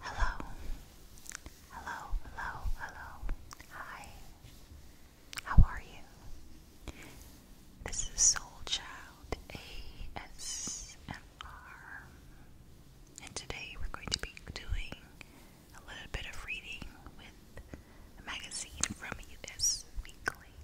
Hello, hello, hello, hello. Hi, how are you? This is Soul Child ASMR, and today we're going to be doing a little bit of reading with a magazine from US Weekly.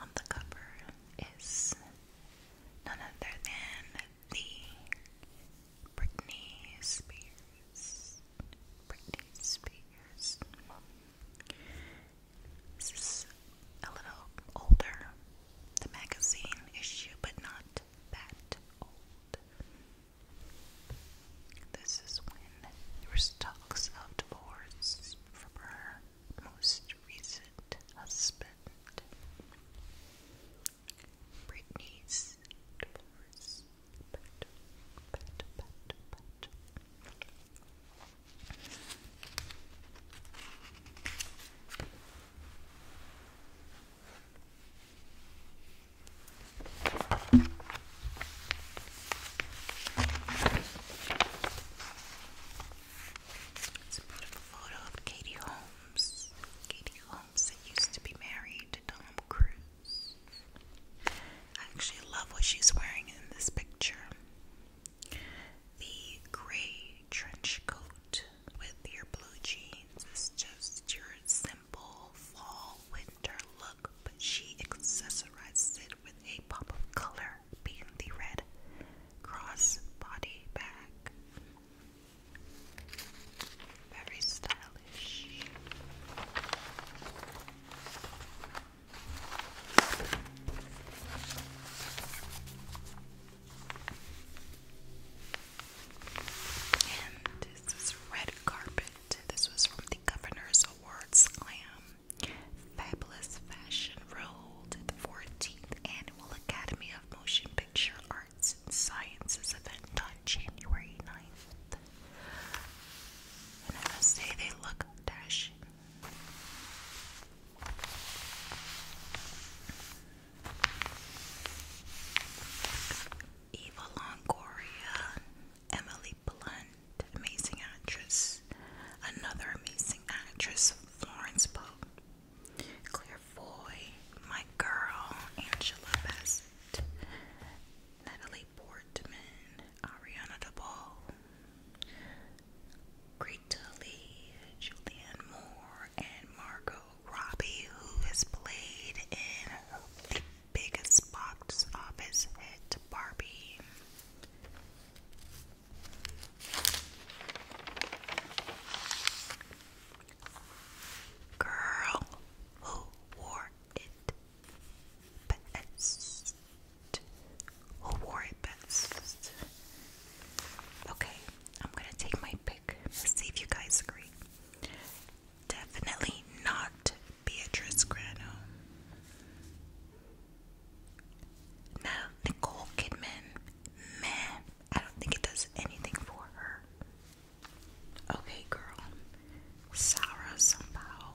On the cover is none other than the Britney Spears. Britney Spears. This is a little older, the magazine issue, but not that old. This is when there was talks of divorce from her most recent husband. Britney's divorce. It's a beautiful photo of Katie Holmes films that used to be married to Tom Cruise. I actually love what she's wearing in this picture. The gray trench coat with your blue jeans is just your simple fall winter look, but she accessorizes it with a pop of color being the red cross body bag. Very stylish. And this is red carpet. This was from the Governor's Awards Slam. Fabulous Fashion Roll the 14th Annual Academy of Motion Picture Art and Sciences event on January 9th. I must say, they look dashing. Eva Longoria, Emily Blunt, amazing actress. Another amazing actress, Florence Pope, Claire My Girl, Angela Bassett, Natalie Portman, Ariana DeBall, Greta Julianne Moore, and Margot Robbie, who has played in the biggest box office hit, Barbie. Girl who wore it best. Who wore it best? Okay, I'm gonna take my pick. Let's see if you guys agree. Definitely not Beatrice Grano. No, Nicole Kidman. Meh. I don't think it does anything for her. Okay, girl. Sarah somehow.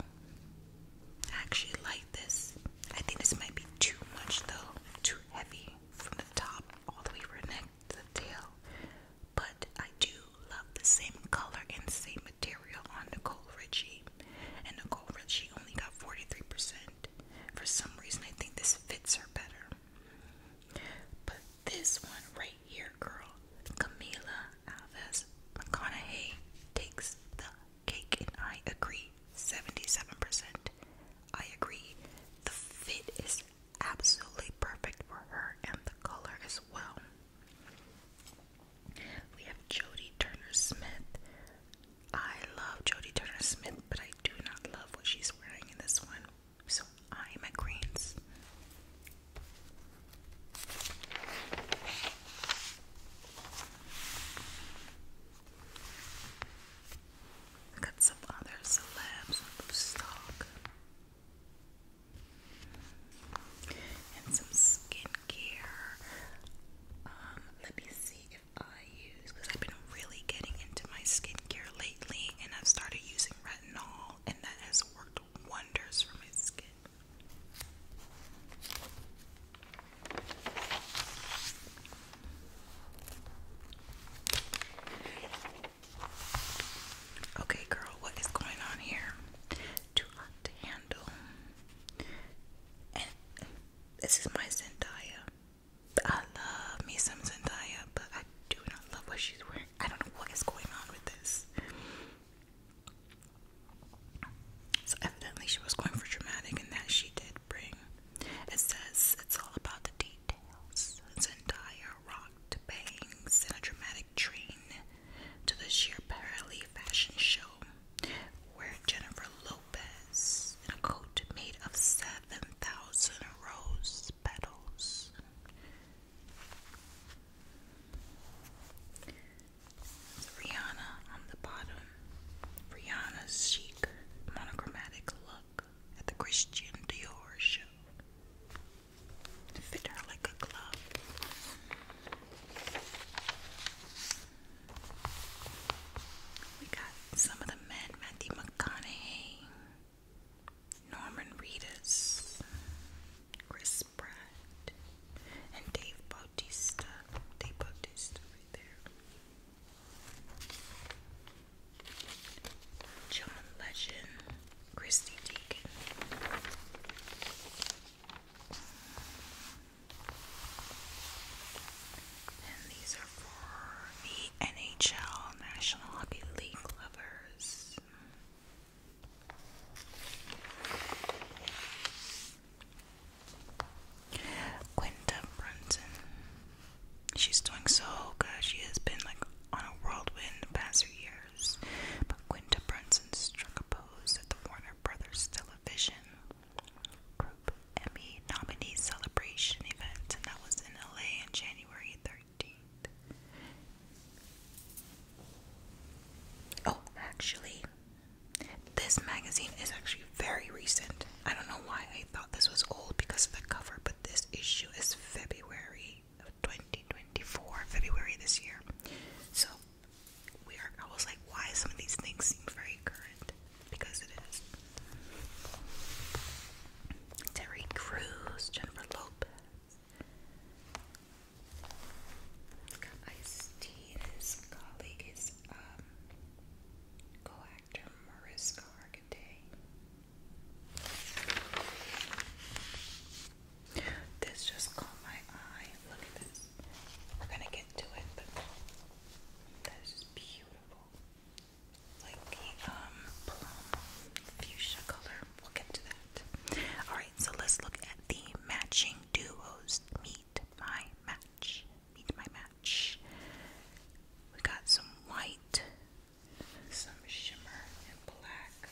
I actually like this. I think this might be too much though. Too heavy from the top all the way from the neck to tail. But I do love the same color and same material on Nicole Richie. And Nicole Richie only got 43%. For some reason, I think this fits her better. But this one right here, girl. Camila Alves McConaughey takes the cake, and I agree 77%. I agree. The fit is absolutely perfect for her, and the color as well. We have Jodie Turner Smith. I love Jodie Turner Smith, but I do not love what she's wearing in this one. So I'm a Greens. got some other celebs on stock. And some skincare. Um, let me see if I use because I've been really getting into my skincare lately and I've started using retinol and that has worked wonders for my skin. Okay, girl, what is going on here? Too hot to handle. And this is my Zendaya. I love me some Zendaya, but I do not love what she's wearing I don't know what is going on with this. So evidently she was going for dramatic and that she did bring. It says it's all about the details. It's rocked bangs and a dramatic train to the sheer parallel fashion show where Jennifer Lopez in a coat made of seven thousand rose petals Rihanna on the bottom. Rihanna's chic, monochromatic look at the Christian Dior show. fit her like a glove. We got some of the men, Matthew McConaughey, Norman Reedus, Chris Pratt, and Dave Bautista. Dave Bautista right there. John Legend, Christy Deacon. And these are for the NHL National Hockey League lovers. Quinta Brunson. She's doing so good. She has been like on a whirlwind the past few years. But Quinta Brunson struck a pose at the Warner Brothers Television Group Emmy nominee celebration event, and that was in LA in January 30 Oh, actually, this magazine is actually very recent. I don't know why I thought this was old because of the cover, but this issue is February of 2024, February this year. So, we are, I was like, why some of these things seem very current? Because it is. Terry Crews, Jennifer Lopez, Got This colleague is um, co-actor Mariska Hargitay. This just caught my eye. Look at this. We're gonna get to it, but that is beautiful. Like the um plum fuchsia color. We'll get to that. Alright, so let's look at the matching duos. Meet my match. Meet my match. We got some white, some shimmer, and black.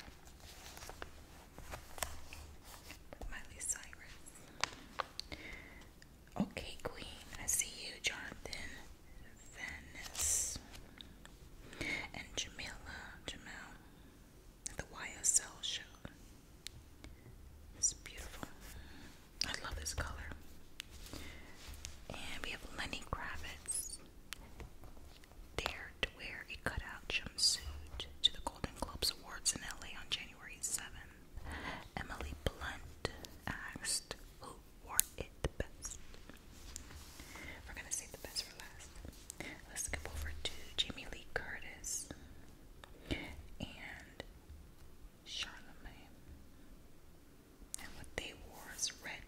Miley Cyrus. Okay, Queen. I see you, Jonathan. Venice and Jamila Jamel at the YSL show. It's beautiful. I love this color. And we have Lenny Kravitz dared to wear a cutout jumpsuit to the Golden Globes Awards in LA on January 7th. Emily Blunt asked who wore it the best. We're gonna save the best for last. Let's skip over to Jamie Lee Curtis and Charlemagne. And what they wore is red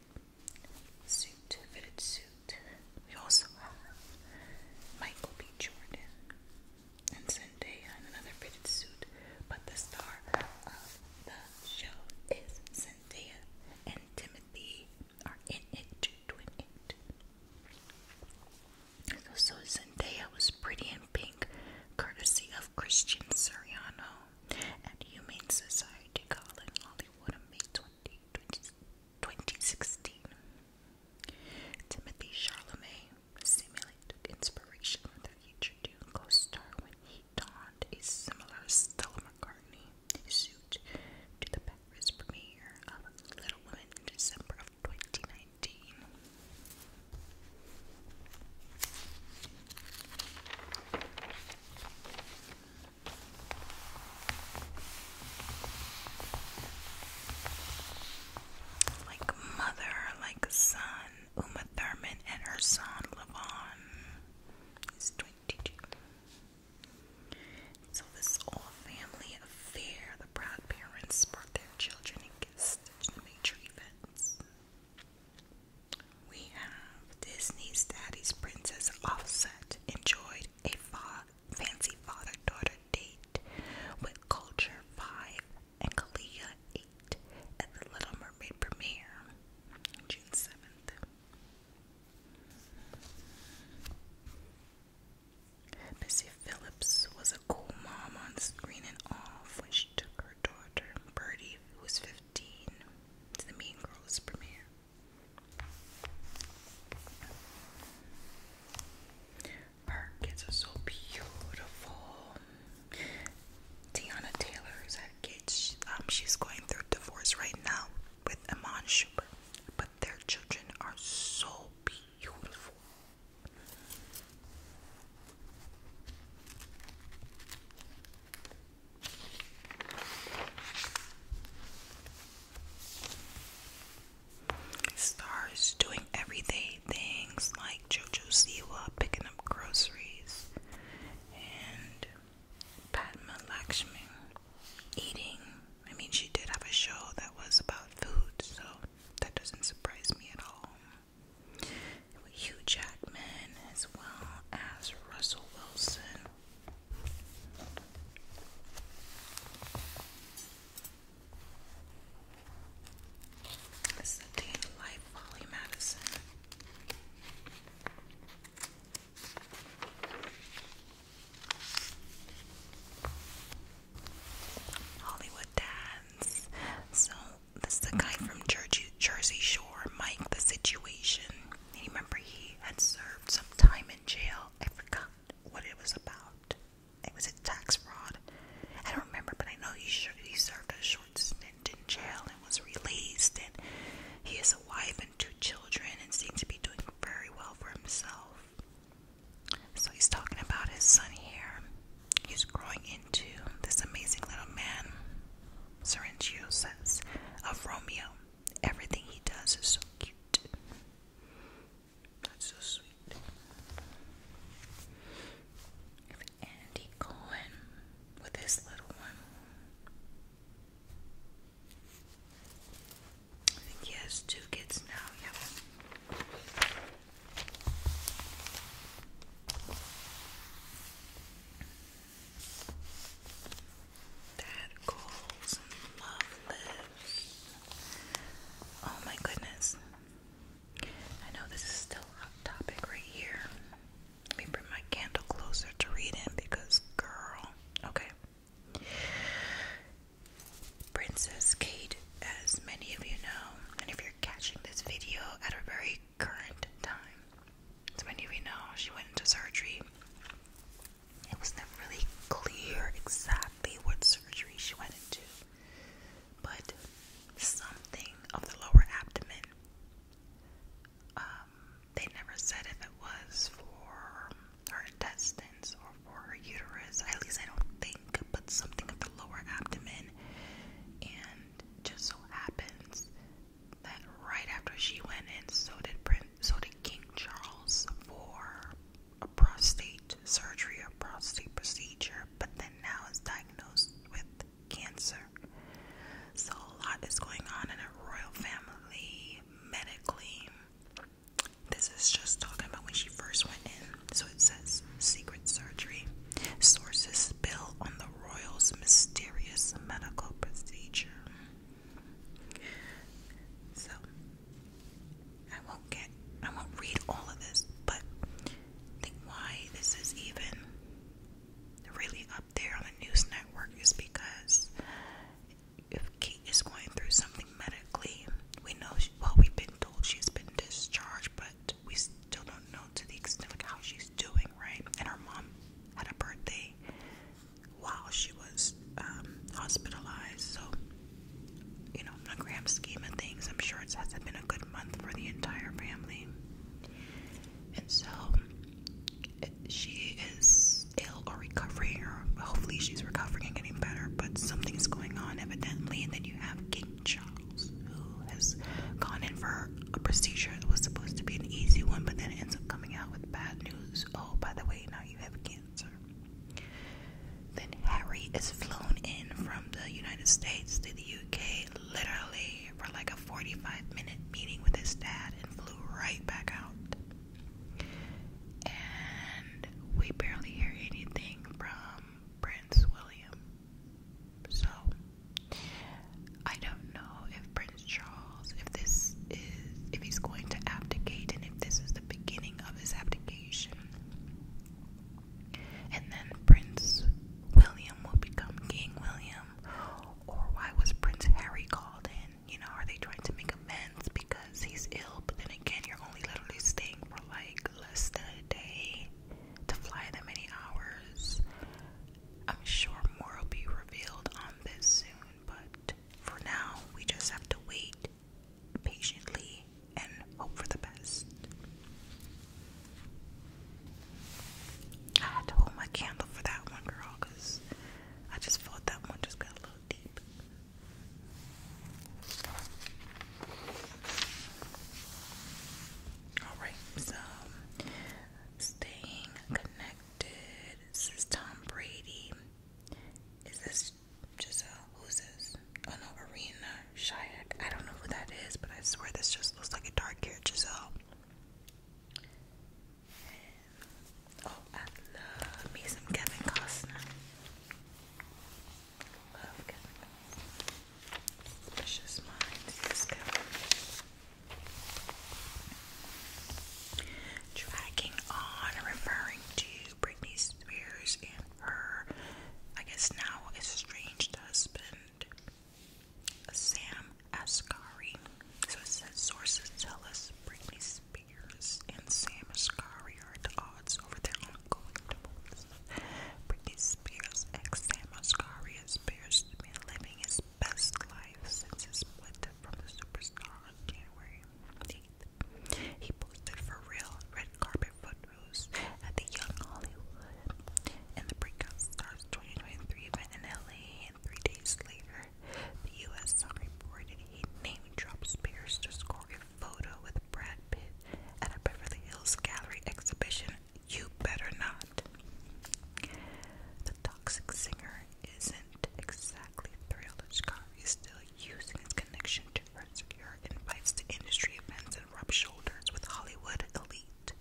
suit, fitted suit. We also have Michael B. Jordan and Zendaya in another fitted suit. But the star of the show is Zendaya and Timothy are So Zendaya was pretty in pink, courtesy of Christian Siriano at Humane Society College Hollywood on May 20, Timothy Charlemagne seemingly inspiration from their future Dune co-star when he donned a similar Stella McCartney suit to the Paris premiere of Little Women in December of 2019. Like mother, like son, Uma Thurman and her son Levon is 22. So this all family affair, the proud parents brought their children to the major events. We have Disney's Daddies Princess Offset enjoyed a fancy father-daughter date with Culture 5 and Kalia 8 at the Little Mermaid premiere June 7th. Missy Phillips was a cool mom on screen and off when took her daughter, Birdie, who was 15, to the Mean Girls premiere. Her kids are so beautiful. Tiana Taylor, kids, um, she's going through divorce right now with Iman Schuber, but their children are so beautiful. Stars doing everyday things like JoJo Siwa picking up groceries and Padma Lakshmi eating. I mean, she did have a show that was about food, so that doesn't surprise me at all. Hugh Jackman, as well as Russell Wilson. This is the day Holly Madison. Hollywood Dance. So this is the guy from Jersey, Jersey Shore, Mike. The situation. And you remember he had served some time in jail. I forgot what it was about. It was a tax fraud. I don't remember, but I know he sure he served a short stint in jail and was released. And he has a wife and two children and seems to be doing very well for himself. So he's talking about his son here. He's growing into this amazing little man. Sorrentino says of Romeo, everything he does is so cute. That's so sweet. Andy Cohen with his little one he has two kids now, yeah. That goals and love lives. Oh my goodness. I know this is still hot topic right here. Let me bring my candle closer to read in because girl. Okay. Princess Kate, as many of you know, and if you're catching this video at a very current time, as many of you know, she went into surgery. It was never really clear exactly what surgery she went into, but something of the lower abdomen uh, um, they never said if it was for her intestines or for her uterus. At least I don't think, but something of the lower abdomen. And just so happens that right after she went in, so did Prince, so did King Charles for a prostate surgery or prostate procedure, but then now is diagnosed with cancer. So a lot is going on in a royal family medically. This is just talking about when she first went in. So it says secret surgery. Sources spill on the royal's mysterious medical procedure. So I won't get I won't read all of this, but think why this is even really up there on the news network is because if Kate is going through something medically, we know well we've been told she's been discharged, but we still don't know to the extent of how she's doing, right? And her mom had a birthday while she was um, hospitalized, so you know, in the grand scheme of things, I'm sure it hasn't been a good month for the entire family. And so she is ill or recovering, hopefully she's recovering and getting better, but something is going on evidently. And then you have King Charles, who has gone in for a procedure that was supposed to be an easy one, but then ends up coming out with bad news. Oh, by the way, now you have cancer. Then Harry is flown in from the United States to the UK, literally for like a 45 minute meeting with his dad, and flew right back out and we barely hear anything from Prince William. So, I don't know if Prince Charles, if this is, if he's going to abdicate and if this is the beginning of his abdication. And then Prince William will become King William. Or why was Prince Harry called in? you know, are they trying to make amends because he's ill? But then again, you're only literally staying for like less than a day to fly that many hours. I'm sure more will be revealed on this soon, but for now, we just have to wait patiently and hope for the best. I had to hold my candle for that one, girl, because I just felt that one just got a little Alright, so staying connected. This is Tom Brady. Is this Giselle? Who's this? Oh no, Arena Shayak. I don't know who that is, but I swear this just looks like a dark haired Giselle. Oh, I love me some Kevin Costner. Love Kevin Costner. Minds, yes, Kevin. Dragging on, referring to Britney Spears and her, I guess now estranged husband, Sam Asghari. So it says sources tell us Britney Spears. Spears and Sam Asghari are at odds over their ongoing divorce. Britney Spears' ex Sam Asghari appears to living his best life since his split from the superstar on January 8th. He posted for real red carpet photos at the Young Hollywood and the Breakout Stars 2023 event in LA, and three days later, the U.S. Sun reported he name-dropped Spears to score a photo with Brad Pitt at a Beverly Hills Gallery exhibition. You better not. The toxic singer isn't exactly thrilled that Shikari is still using his connection to secure invites to industry events and rub shoulders with Hollywood elite.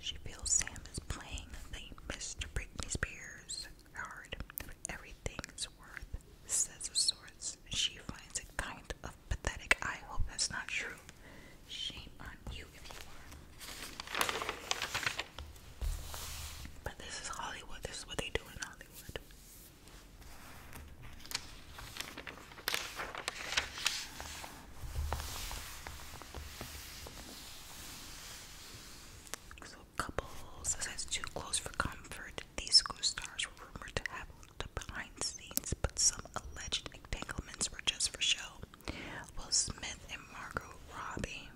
She feels Sam is playing the Mr. Britney Spears hard. Everything's worth, says a source. She finds it kind of pathetic. I hope that's not true. Shame on you if you are. But this is Hollywood. This is what they do in Hollywood fellow couples. As too close for comfort, these co stars were rumored to have looked behind the scenes, but some alleged entanglements were just for show. Will Smith and Margot Robbie,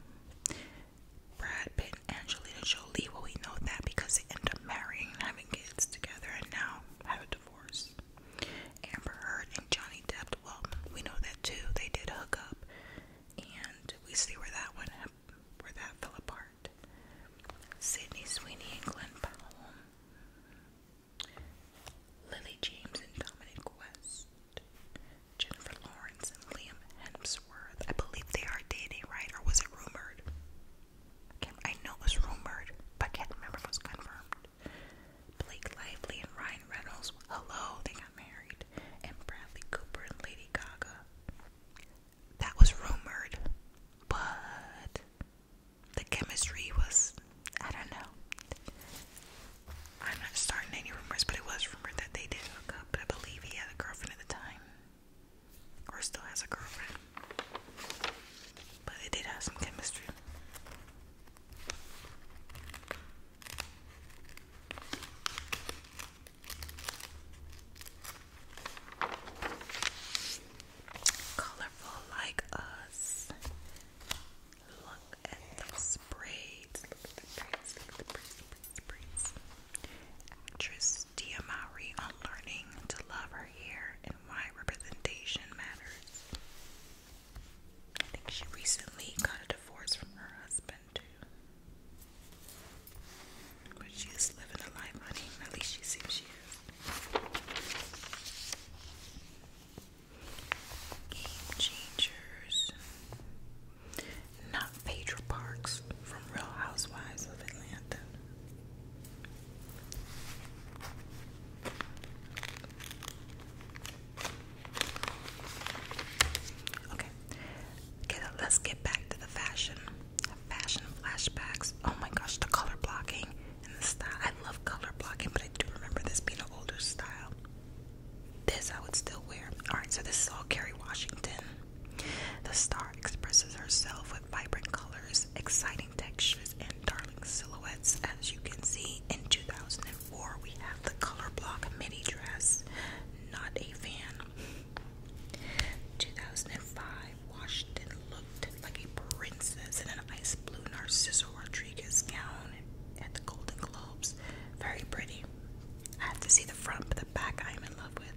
Brad Pitt, and Angelina Jolie. Well, we know that because they end up marrying and having kids together, and now have a divorce. Amber Heard and Johnny Depp. Well, we know that too. They did hook up, and we see where that went where that fell apart. Sydney Sweeney and Glenn Powell. Lily James and Dominic West. Jennifer Lawrence and Liam Hemsworth. I believe they are dating, right? Or was it rumored? I, I know it was rumored, but I can't remember if it was confirmed. Blake Lively and Ryan Reynolds. Hello, they got married. And Bradley Cooper and Lady Gaga that was rumored, but the chemistry was, I don't know. I'm not starting any rumors, but it was rumored that they did hook up, but I believe he had a girlfriend at the time. Or still has a girlfriend. But they did have some chemistry. Colorful like us. Look at those braids. Actress Dia Mowry on to love her hair and why representation matters. I think she recently got a divorce from her husband. But she is living a life, honey. At least she seems to. Game changers. Not Pedro Parks from Real Housewives of Atlanta. Okay, Okay. let's get back to the fashion. Fashion flashbacks. Oh my gosh, the color blocking and the style. I love color blocking, but I do remember this being an older style. This I would still wear. Alright, so this is all Kerry Washington. The star expresses herself with vibrant colors, exciting textures, and darling silhouettes. As you can see, in 2004, we have the color block midi dress. Not a fan. 2005, Washington looked like a princess in an ice blue Narciso Rodriguez gown at the Golden Globes. Very pretty. I have to see the front, but the back I am in love with.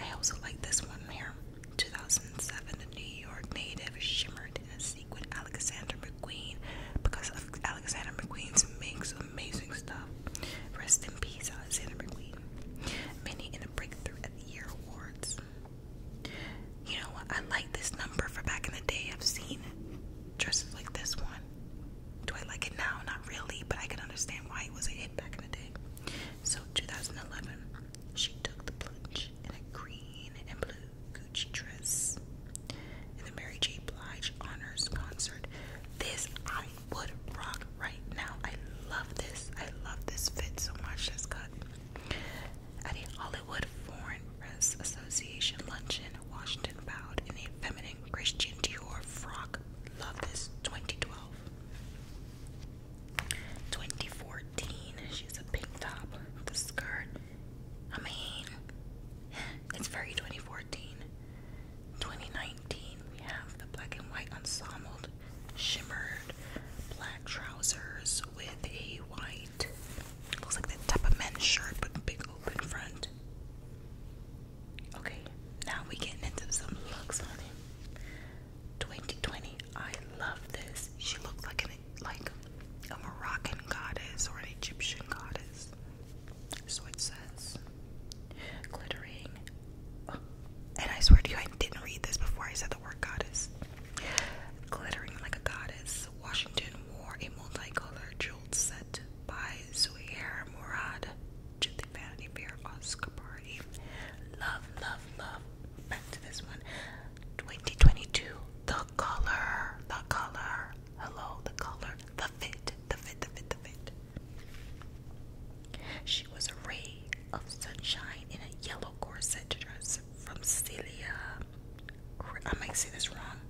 I also like this one here. 2007, the New York native shimmered in a sequin Alexander McQueen because of Alexander McQueen's makes amazing stuff. Rest in peace, many in a breakthrough at the year awards. You know I like this number for back in the day. I've seen dresses like this one. Do I like it now? Not really, but I can understand why it was a hit back in the day. So 2011, she took the plunge in a green and blue Gucci dress in the Mary J. Blige Honors Concert. This would rock right now. I love this. I love this fit so much. This cut at a Hollywood Foreign Press Association luncheon, Washington bowed in a feminine Christian Dior frock. Love this. 2012. 2014. She's a pink top with skirt. I mean, it's very 2014. 2019, we have the black and white ensemble shimmered black trousers with a white, looks like the type of men's shirt but big open front. Okay, now we getting into some looks on 2020, I love this. She looks like an like a Moroccan goddess or an Egyptian goddess. So it says glittering. Oh, and I swear to you, I didn't read this before I said the word goddess. Glittering like a goddess, Washington wore a multicolored jeweled set by Zuhair Murad to the Vanity Fair Oscar party. Love, love, love. Back to this one. 2022. The color, the color. Hello, the color. The fit, the fit, the fit, the fit. She was a ray of sunshine in a yellow corset dress from Celia. I might say this wrong.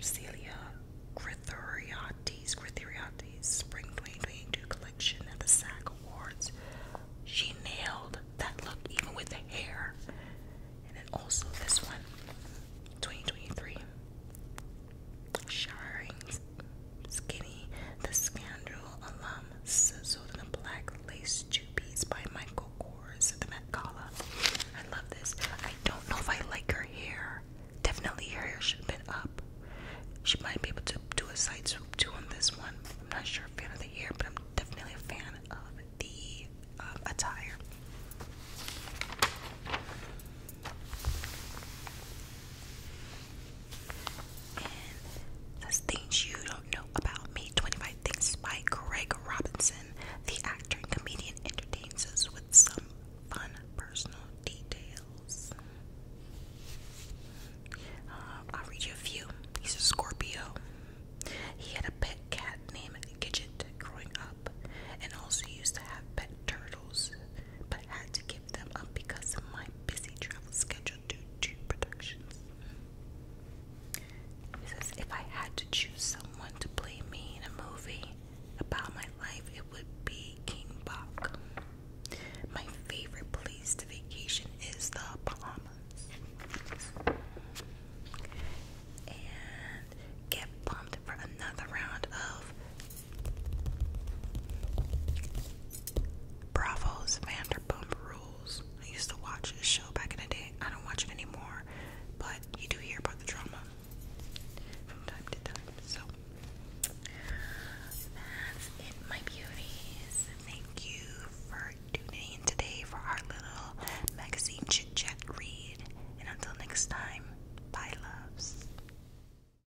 Celia Grithoriades, Grithoriades Spring 2022 collection at the Sack Awards. She nailed that look even with the hair. And then also this one, 2023. Showering Skinny, the Scoundrel alum, sizzled in a black lace two-piece by Michael Kors at the Met Gala. I love this. I don't know if I like her hair. Definitely her hair should have been up. She might be able to do a side swoop too on this one. I'm not sure a fan of the hair, but I'm definitely a fan of the um, attire. And Things You Don't Know About Me 25 Things by Greg Robinson. The actor and comedian entertains us with some fun personal details. Um, I'll read you a few. He's a Scorpio. He had a pet cat named Gidget growing up and also used to have pet turtles but had to give them up because of my busy travel schedule due to productions. He says, if I had to choose someone to play me in a movie about my life, it would be King Bach. My favorite place to vacation is the Bahamas. And get pumped for another round of Bravo's Vanderpump Rules. I used to watch this show back in the day. I don't watch it anymore, but you do hear about the drama from time to time. So my beauties. Thank you for tuning in today for our little magazine chit read. And until next time, bye, loves.